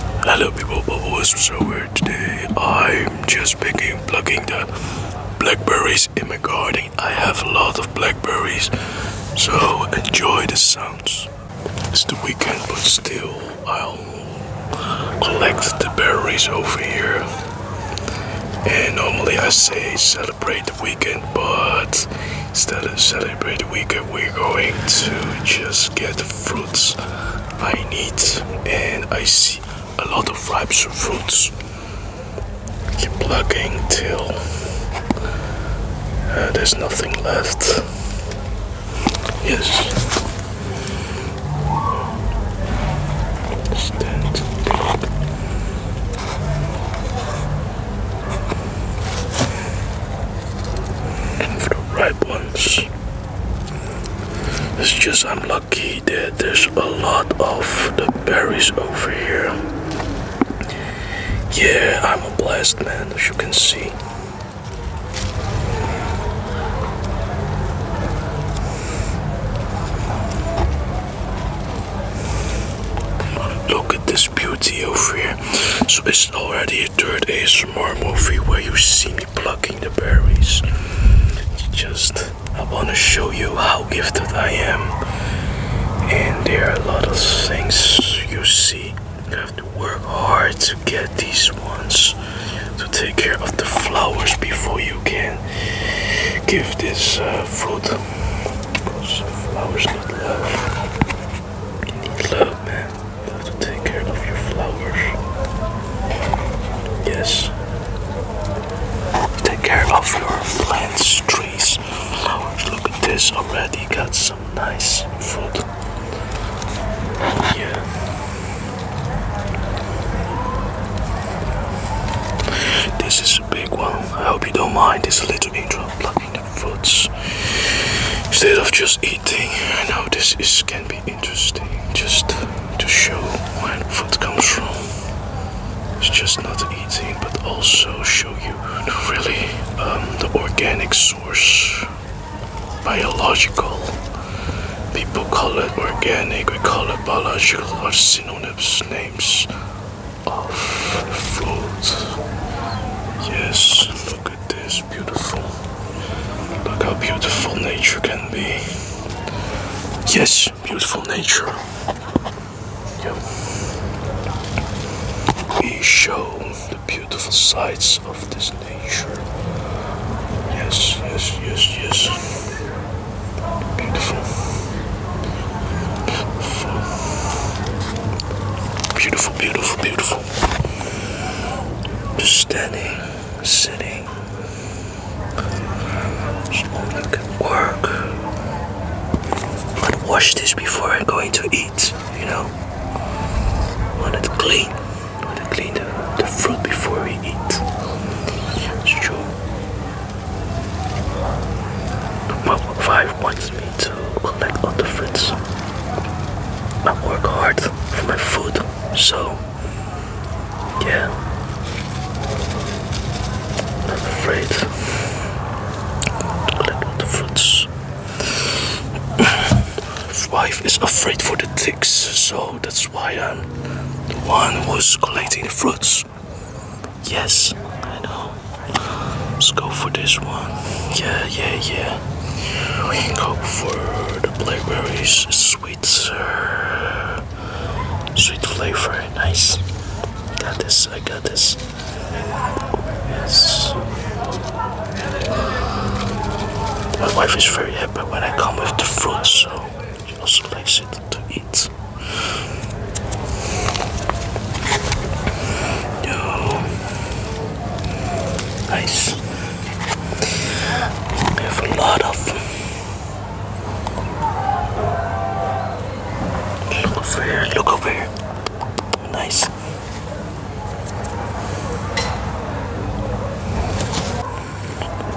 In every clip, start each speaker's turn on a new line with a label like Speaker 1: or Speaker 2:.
Speaker 1: Hello people, Bubble so weird today. I'm just picking, plucking the blackberries in my garden. I have a lot of blackberries, so enjoy the sounds. It's the weekend, but still, I'll collect the berries over here. And normally I say celebrate the weekend, but instead of celebrate the weekend, we're going to just get fruits I need and I see a lot of ripe fruits keep plugging till uh, there's nothing left yes Stand. and for the ripe ones it's just I'm lucky that there's a lot of the berries over here. Yeah, I'm a blessed man, as you can see. Look at this beauty over here. So it's already your third ASMR movie where you see me plucking the berries. Just, I want to show you how gifted I am. And there are a lot of things you see. You have to work hard to get these ones. To take care of the flowers before you can give this uh, fruit. Because flowers need love. They need love, man have to take care of your flowers. Yes. Take care of your plants, trees, flowers. Look at this already. Got some nice fruit. Yeah. This is a big one. I hope you don't mind this little intro foods instead of just eating. I know this is can be interesting just to show where food comes from. It's just not eating, but also show you really um, the organic source, biological. People call it organic, we call it biological, are synonyms, names of food. Yes, look at this beautiful. Look how beautiful nature can be. Yes, beautiful nature. Yep. We show the beautiful sides of this nature. Yes, yes, yes, yes. Beautiful. Beautiful, beautiful, beautiful. beautiful. Just Standing, sitting, so you can work. But wash this before I'm going to eat, you know. I want it clean. I want to clean the, fruit before we eat. It's true. five points collect all the fruits. I work hard for my food, so yeah. I'm afraid collect all the fruits. Wife is afraid for the ticks, so that's why I'm the one who's collecting the fruits. Yes, I know. Let's go for this one. Yeah, yeah, yeah. We can go for the blackberries. Sweet, sir. Sweet flavor. Nice. Got this. I got this. Yes. My wife is very happy when I come with the fruit, so she also likes it to eat. Yo. Nice. We have a lot of Look over here, look over here. Nice.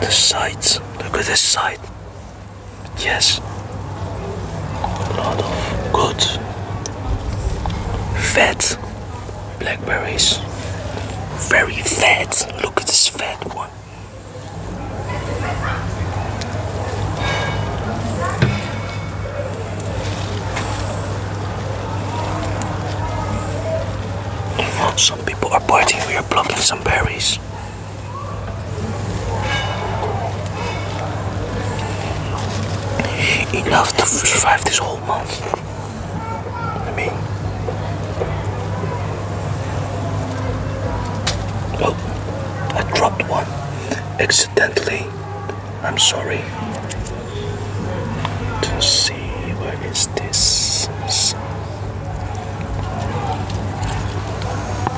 Speaker 1: The sides, look at this side. Yes a lot of good fat blackberries. Very fat. Look at this fat one. Some people are partying, we are plucking some berries. Enough to survive this whole month. I mean, well, I dropped one accidentally. I'm sorry. To see what is this?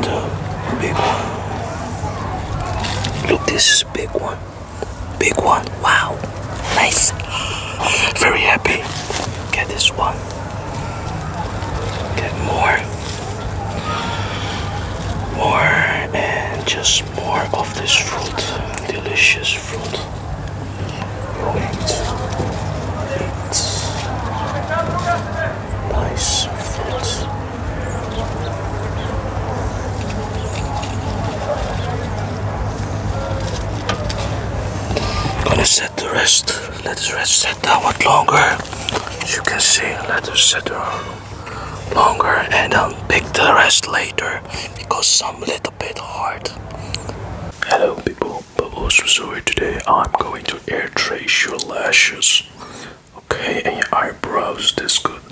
Speaker 1: the big one look this is big one big one wow nice very happy get this one get more more and just more of this fruit delicious fruit Wait. Wait. Nice fruits. Gonna set the rest. Let the rest set downward longer. As you can see, let us set down longer and then um, pick the rest later because some little bit hard. Hello people but also sorry today I'm going to air trace your lashes. Okay, and your eyebrows this good.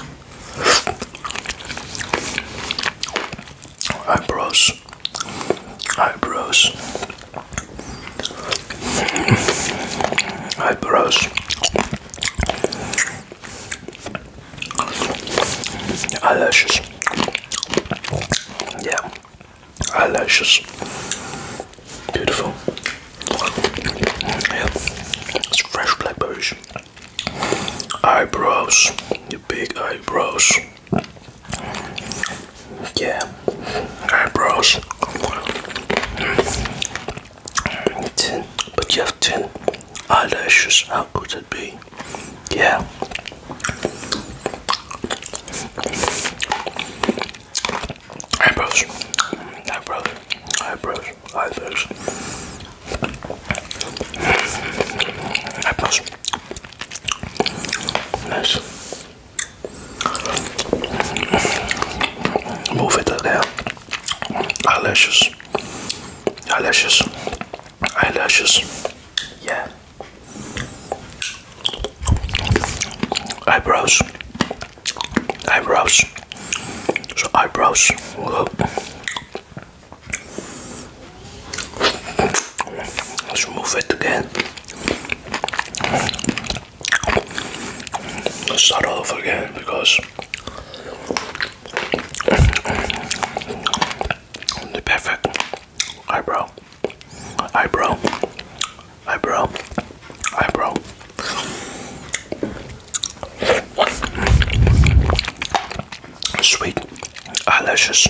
Speaker 1: Eyebrows. Eyebrows. Eyebrows. Eyelashes. Yeah eyelashes. Beautiful. Yep. It's fresh blackberries. Eyebrows. Your big eyebrows. Yeah. Eyebrows. Ten. But you have ten eyelashes. How could it be? Yeah. Eyebrows. Eyebrows. Eyebrows. Eyebrows. Eyebrows. Nice. Move it there. Eyelashes. Eyelashes. Eyelashes. Yeah. Eyebrows. Eyebrows. So eyebrows. Let's remove it again. Let's start off again because the perfect eyebrow. Eyebrow. Eyebrow. Eyebrow. Sweet. Eyelashes.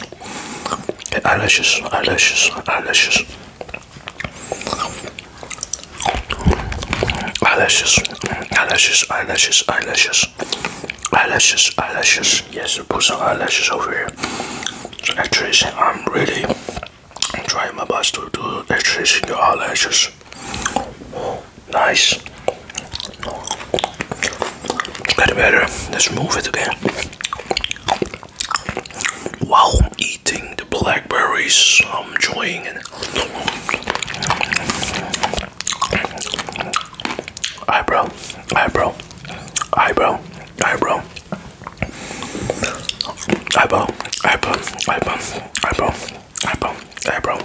Speaker 1: Eyelashes. Eyelashes. Eyelashes. Eyelashes. Eyelashes. Eyelashes. Eyelashes. Eyelashes. Eyelashes yes, put some eyelashes over here. So I'm really trying my best to do actressing your eyelashes. Nice. It's getting better. Let's move it again. While eating the blackberries, I'm enjoying it. Eyebrow, eyebrow, eyebrow eyebrow, eyebrow, eyebrow, eyebrow, eyebrow, eyebrow, eyebrow.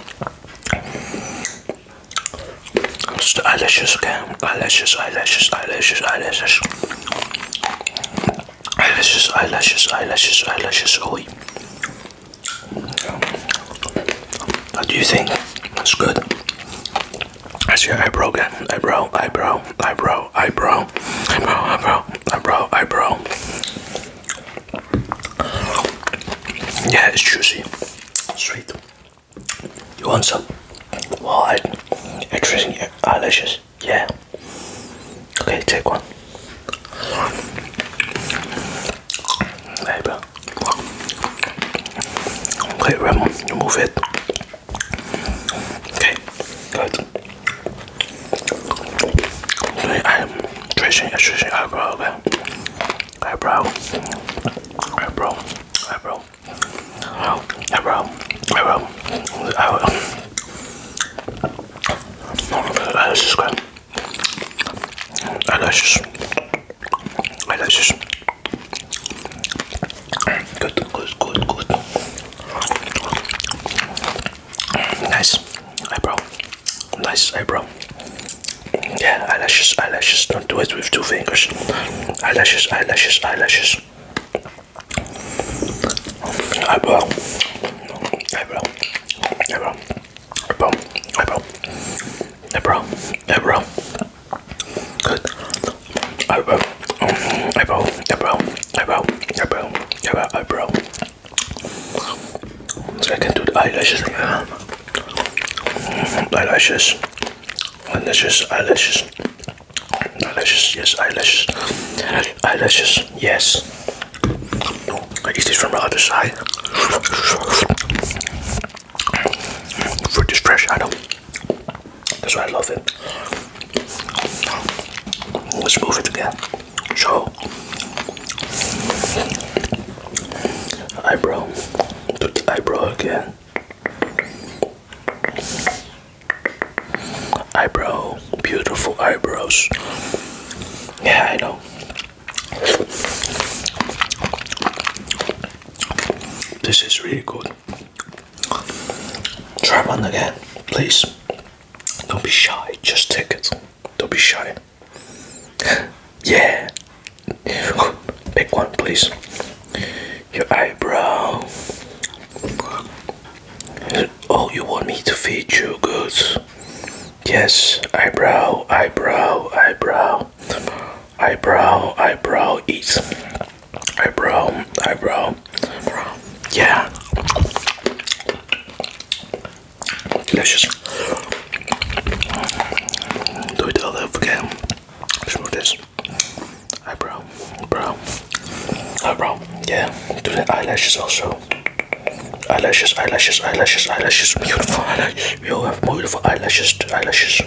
Speaker 1: Just the eyelashes, okay? Eyelashes, eyelashes, eyelashes, eyelashes. Eyelashes, eyelashes, eyelashes, eyelashes, oh. What do you think? That's good. That's your eyebrow again. Eyebrow, eyebrow, eyebrow, eyebrow, eyebrow, eyebrow, eyebrow, eyebrow. Yeah, it's juicy. Sweet. You want some? Why? Interesting your eyelashes. Yeah. Okay, take one. There you go. Okay, Ramon, you move it. Okay, good. I'm tracing, tracing eyebrow, Eyebrow, eyebrow, eyebrow, eyebrow, eyebrow, eyebrow, eyebrow. Eyelashes, Delicious. Good, good, good, good. Nice eyebrow. Nice eyebrow. Yeah, eyelashes, eyelashes. Don't do it with two fingers. Eyelashes, eyelashes, eyelashes. Eyebrow. Eyebrow. Eyebrow. Eyebrow. Eyebrow. Hey bro, hey bro. Good. Hey bro, hey bro, hey bro, hey bro, hey bro, hey bro, hey bro. So I can do the eyelashes. Eyelashes. Eyelashes, eyelashes. Eyelashes, yes, eyelashes. Eyelashes, yes. I eat this from the other side. Fruit is fresh, I know. That's why I love it. Let's move it again. Show eyebrow to the eyebrow again. Eyebrow, beautiful eyebrows. Yeah, I know. This is really good. Try one again, please. Don't be shy, just take it. Don't be shy. yeah. Pick one, please. Your eyebrow. Oh, you want me to feed you? Good. Yes, eyebrow, eyebrow, eyebrow eyebrow, eyebrow eat, eyebrow, eyebrow. Yeah. Delicious. Do it all over again. Let's this. Eyebrow, brow, eyebrow. Yeah. Do the eyelashes also. Eyelashes, eyelashes, eyelashes, eyelashes. Beautiful eyelashes. We You have beautiful eyelashes, eyelashes.